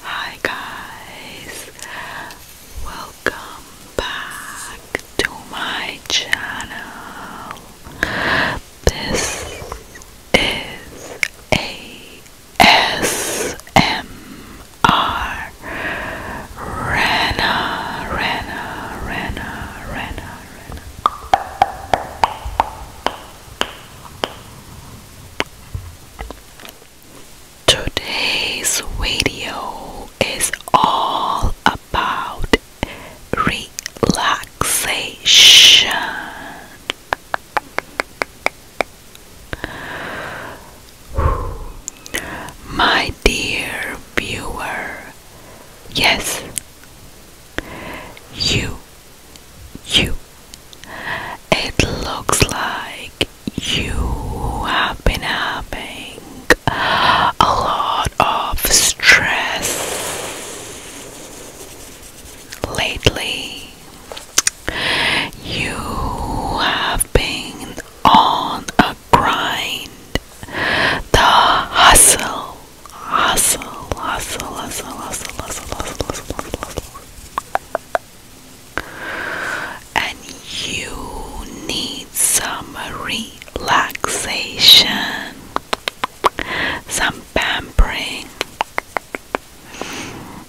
Hi guys, welcome back to my channel. This is ASMR Rena, Rena, Rena, Rena, Rena. Today's video is all about relaxation. My dear viewer, yes, you you. It looks like you have been having a lot of stress lately. You have been on a grind. The hustle hustle, hustle, hustle, hustle, hustle, hustle, hustle, hustle. And you need some relaxation, some pampering,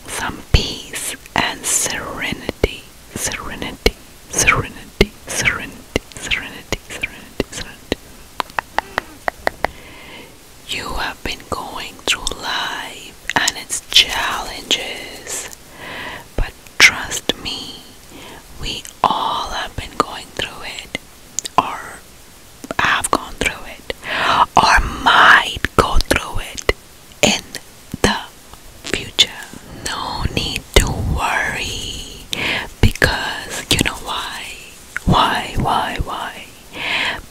some peace and serenity, serenity, serenity, serenity, serenity, serenity, serenity. You have been going through life and its challenges, but trust me, we all have been going through it, or have gone through it, or might go through it in the future. No need to worry because you know why? Why, why, why?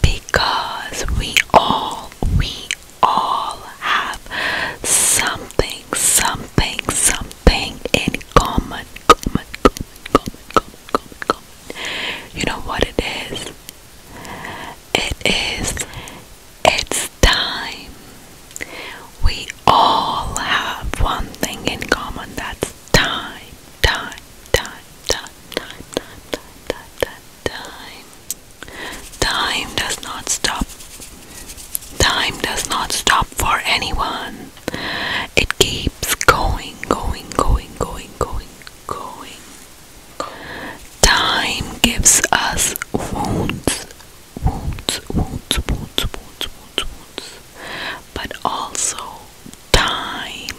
because we all we all have something something something in common common common common common common, common. you know what it is it is it's time we all have one thing in common that's time time time time, time, time, time, time, time, time. Time does not stop. Time does not stop for anyone. It keeps going, going, going, going, going, going. Time gives us wounds, wounds, wounds, wounds, wounds, wounds, wounds but also time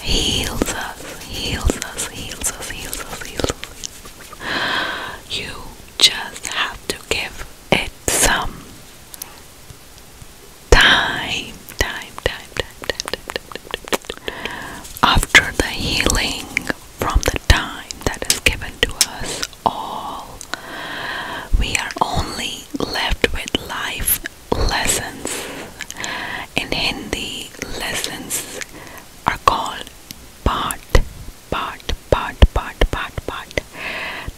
heals us, heals us, heals us, heals us, heals us. You just have to give it some time, time, time, time, After the healing from the time that is given to us all, we are only left with life lessons. In Hindi, lessons are called part, part, part, part, part, part.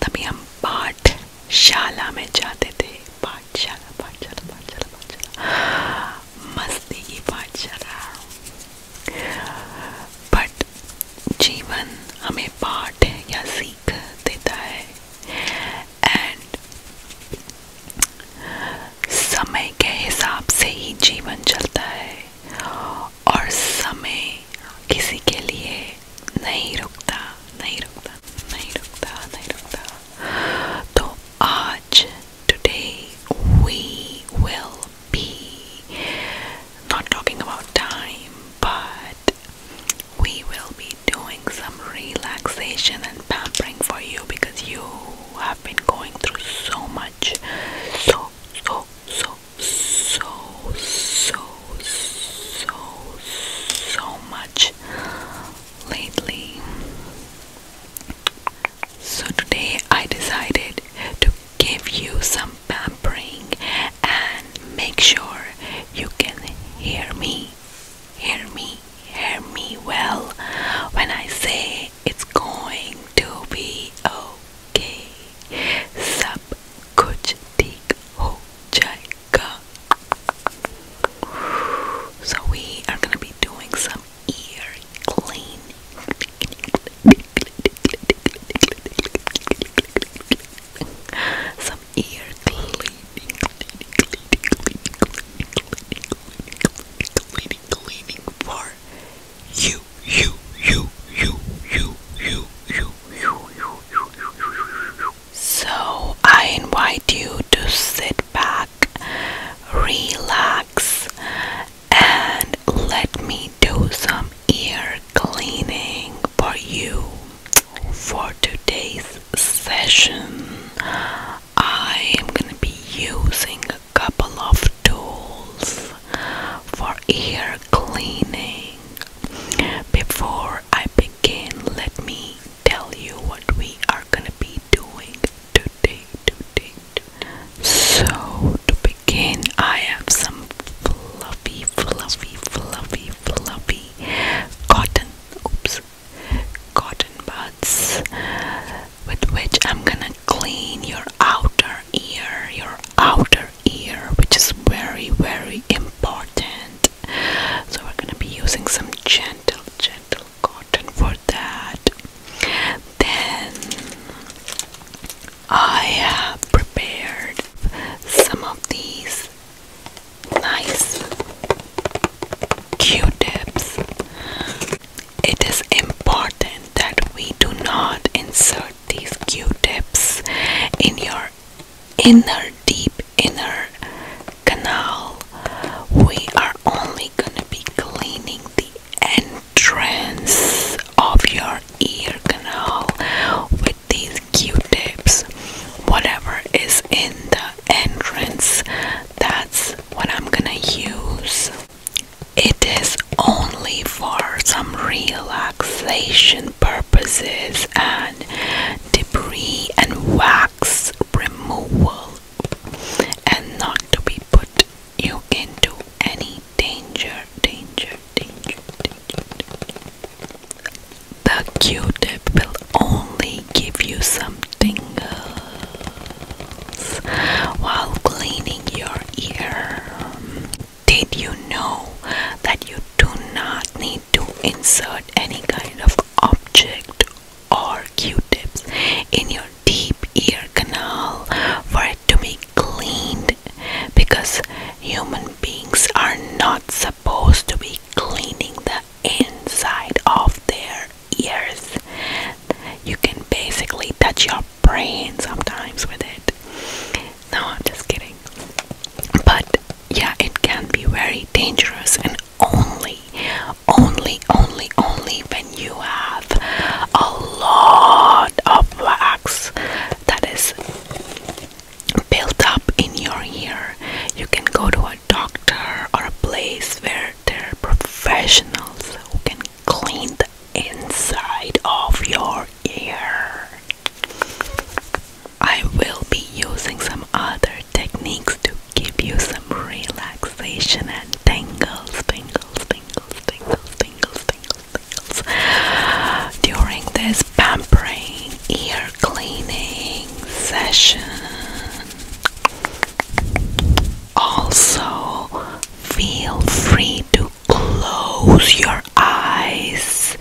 तभी हम पाठ शाला में जाते थे पाठशाला पाठशाला पाठशाला पाठशाला मस्ती की पाठशाला बट जीवन हमें पाठ या सीख देता है एंड समय के हिसाब से ही जीवन चलता है और समय किसी के लिए नहीं रुकता नहीं रुकता नहीं रुकता नहीं रुकता तो आज today we will be not talking about time but we will be doing some relaxation and pampering for you because you have been going through so much. So, so, so, so, so, so, so much lately. So, today I decided to give you some pampering and make sure you can hear me Hear me, hear me well when I say it's going to be okay. Sub kuch tik ho So we are gonna be doing some ear clean. Some ear cleaning, cleaning, cleaning, cleaning, cleaning, cleaning, cleaning, cleaning for you, you, you, you, you, you, you, you, you, you, you. So I invite you to sit back, relax, and let me do some ear cleaning for you for today's session I am going to be using a couple of tools for ear cleaning. Before I begin, let me tell you what we are going to be doing today, today, today. So, to begin, I have some fluffy, fluffy, fluffy, fluffy cotton. Oops, cotton buds with which I'm gonna clean your outer ear, your outer ear, which is very, very important. So, we're gonna be using some gentle, gentle cotton for that. Then, I have prepared some of these nice q-tips it is important that we do not insert these q-tips in your inner deep inner canal we are only going to be cleaning the entrance of your ear canal with these q-tips whatever is in the entrance that's what I'm gonna use it is only for some relaxation purposes and debris and wax removal and not to be put you into any danger danger danger danger, danger. The Q-tip will only give you some tingles while cleaning your ear. Did you know that you do not need to insert any kind of object or Q-tips in your deep ear canal for it to be cleaned because human beings are not supposed to be cleaning the inside of their ears. You can basically touch your brain sometimes with it. No, I'm just kidding. But yeah, it can be very dangerous and only, only, only, only when you have a lot of wax that is built up in your ear. You can go to a doctor or a place where there are professionals who can clean the inside of your ear. I will be using some other techniques to give you some relaxation and tingles, tingles, tingles, tingles, tingles, tingles, tingles during this pampering ear cleaning session. Also, feel free to close your eyes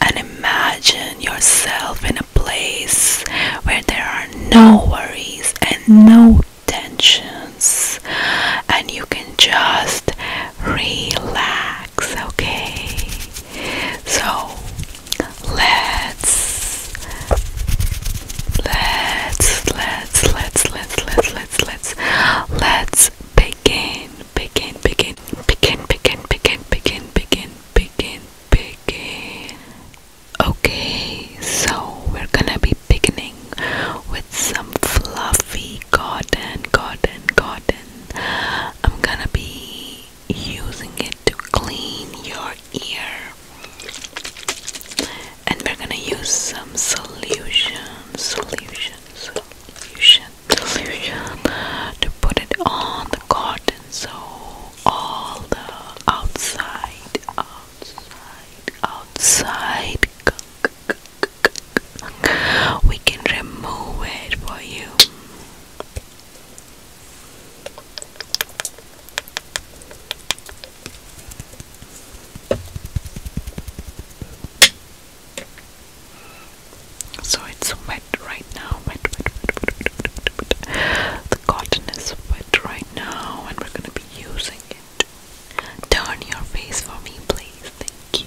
and imagine yourself in a place where there are no worries and no tensions, and you can just relax, okay? So, Let's let's let's let's let's let's let's let's let's begin begin begin begin begin begin begin begin begin begin Okay so we're gonna be beginning with some fluffy cotton cotton cotton I'm gonna be using it to clean your ear and we're gonna use some solution solution solution solution to put it on the cotton so all the outside outside outside we can remove it for you so it's wet right now. The cotton is wet right now, and we're gonna be using it. Turn your face for me, please. Thank you.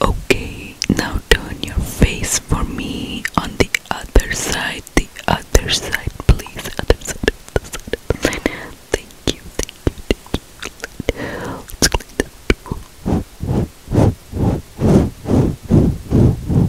Okay, now turn your face for me on the other side, the other side, please. Other side, Thank you, thank you,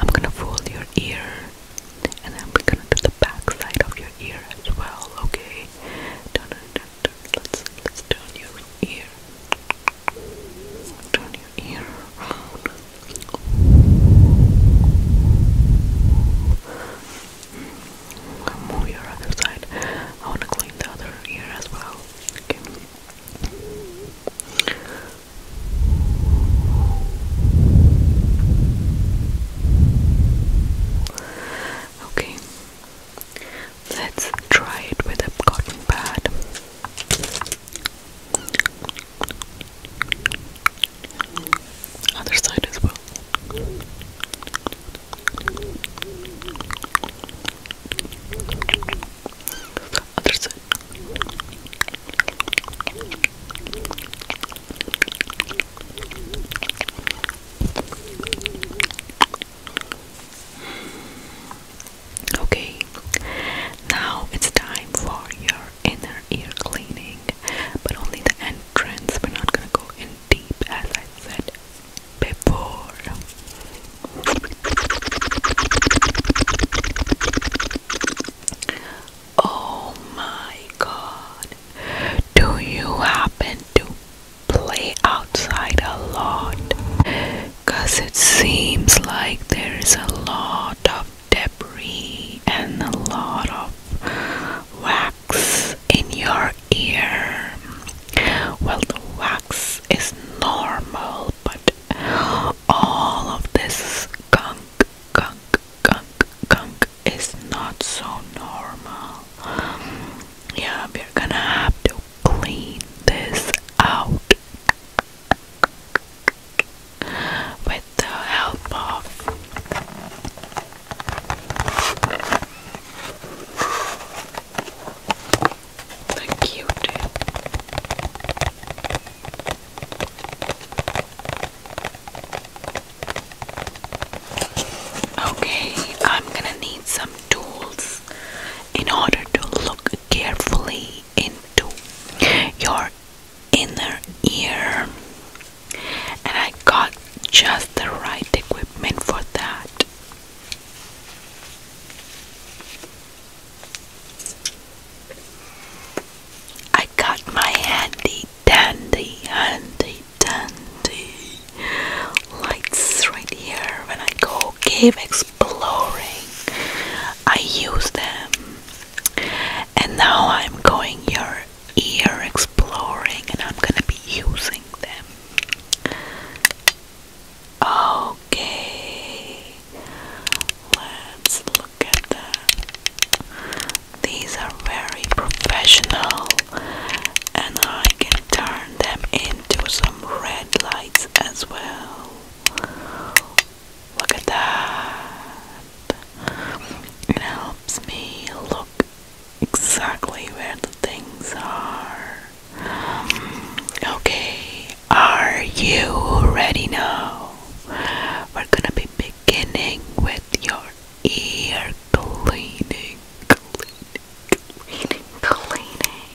I'm gonna fold your ear and then we're gonna do the back side of your ear as well, okay? Turn, turn, turn. Let's let's turn your ear. Turn your ear around. Move your other side. I wanna clean the other ear as well. Okay. Okay, let's try it with a cotton pad. Other side as well. Other side. Okay, now it's time for your inner ear cleaning, but only the entrance. We're not gonna go in deep as I said before. Oh my god. Do you happen to play outside a lot? it seems like there is a lot of debris and a lot of wax in your ear. Well, the wax is normal, but all of this gunk gunk, gunk, gunk is not so normal. Yeah, we're gonna have to clean this out with the help of the q Okay, I'm gonna need some tools in order to look carefully into your inner ear, and I got just the right equipment for that. I got my handy dandy, handy dandy lights right here when I go cave exploring. I use them, and now I'm going your ear exploring, and I'm gonna be using them. Okay. Let's look at them. These are very professional, and I can turn them into some red lights as well. Look at that. It helps me look exactly where the things are. okay, are you ready now? we're gonna be beginning with your ear cleaning, cleaning, cleaning, cleaning.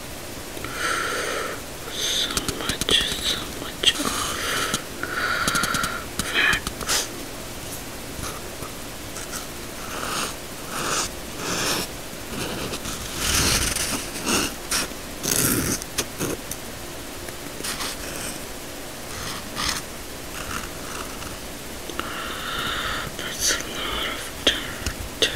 So much, so much of facts. That's a lot of dirt.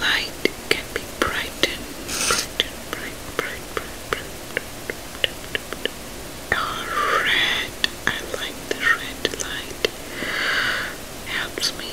light can be brightened, brightened, bright, bright, bright, bright, red. I like the red light. Helps me.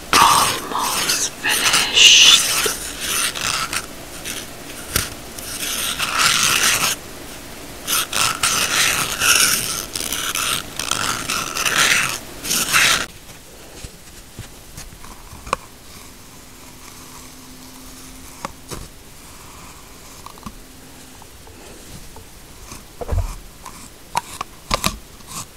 almost finished.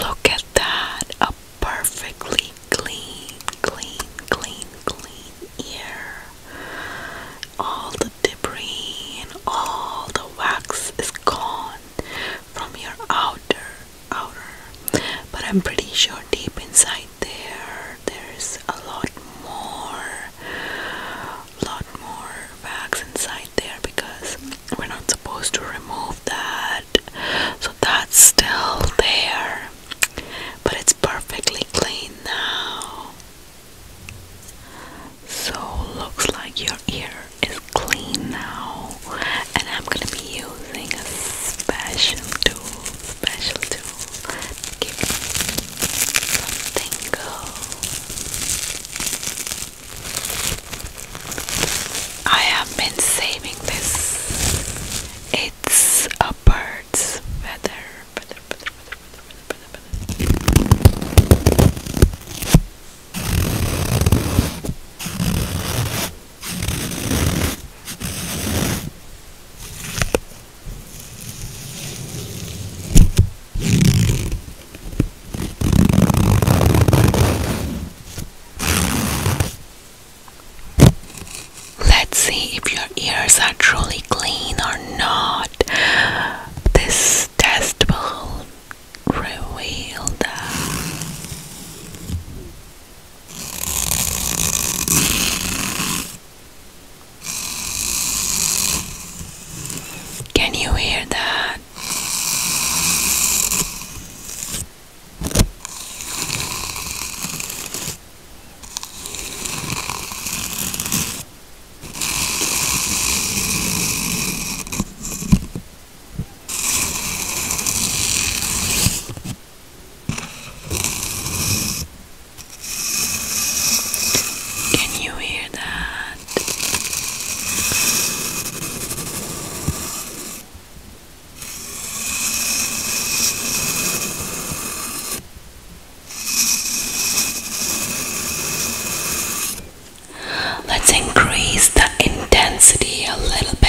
Look at that. A perfectly clean, clean, clean, clean ear. All the debris and all the wax is gone from your outer outer. But I'm pretty sure deep inside there there's a lot more lot more wax inside there because we're not supposed to remove that so that's still there but it's perfectly clean now so looks like your ear is clean now and I'm gonna be using a special tool special tool to give you some tingle I have been saving this. It's a bird's feather. Let's see if your ears are truly clean or not. This test will reveal that. Can you hear that? Can you hear that? Let's increase the intensity a little bit.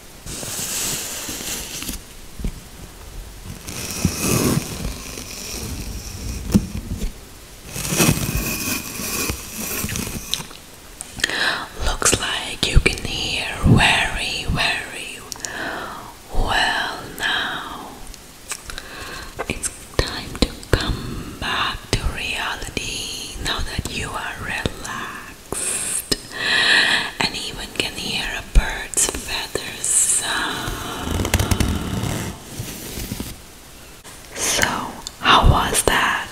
Looks like you can hear very, very well now. It's time to come back to reality now that you are relaxed and even can hear a bird's feathers So, how was that?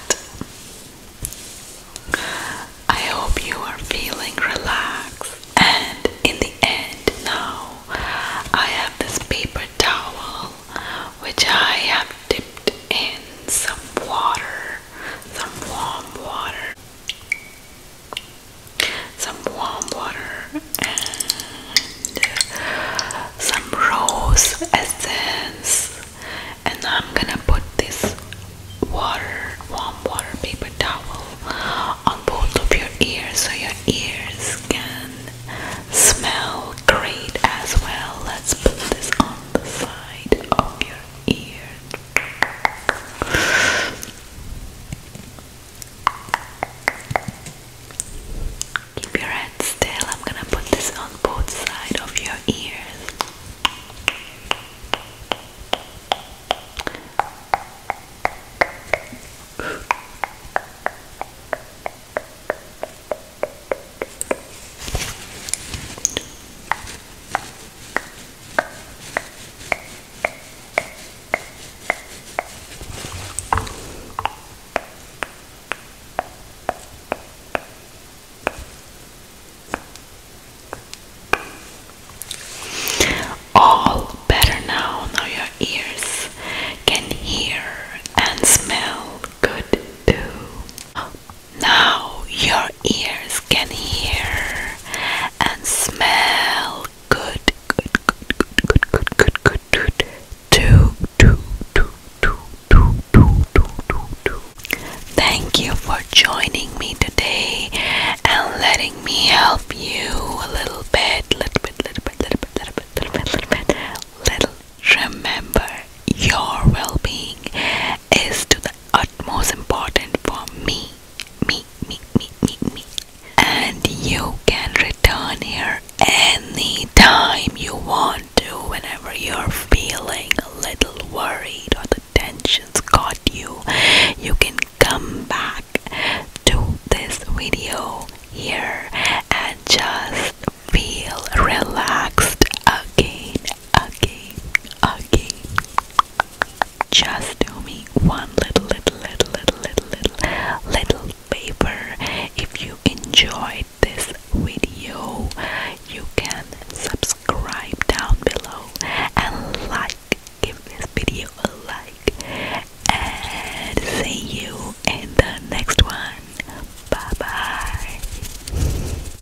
I hope you are feeling relaxed. And in the end, now I have this paper towel which I have dipped in some water some warm water, some warm water, and some rose essence. And I'm gonna put this water, warm water paper towel on both of your ears so your ears can smell great as well. Let's put this on the side of your Keep your head still. I'm gonna put this on both sides of your ears. All better now, now your ears can hear and smell good too. Now your ears can hear and smell good, good, good, good, good, good, good, good, good. Do, do, do, do, do, do, do, do, do. Thank you for joining me today and letting me help you a little bit, little bit, little bit, little bit, little bit, little bit, little bit, little. Remember, your well-being is to the utmost important for me, me, me, me, me, me. And you can return here anytime you want to, whenever you're feeling a little worried or the tension's got you. You can come back to this video here and just feel relaxed again again, again. Just do me one little, little, little, little, little, little, little favor. If you enjoyed this video, you can subscribe down below and like. Give this video a like. And see you in the next one. Bye bye.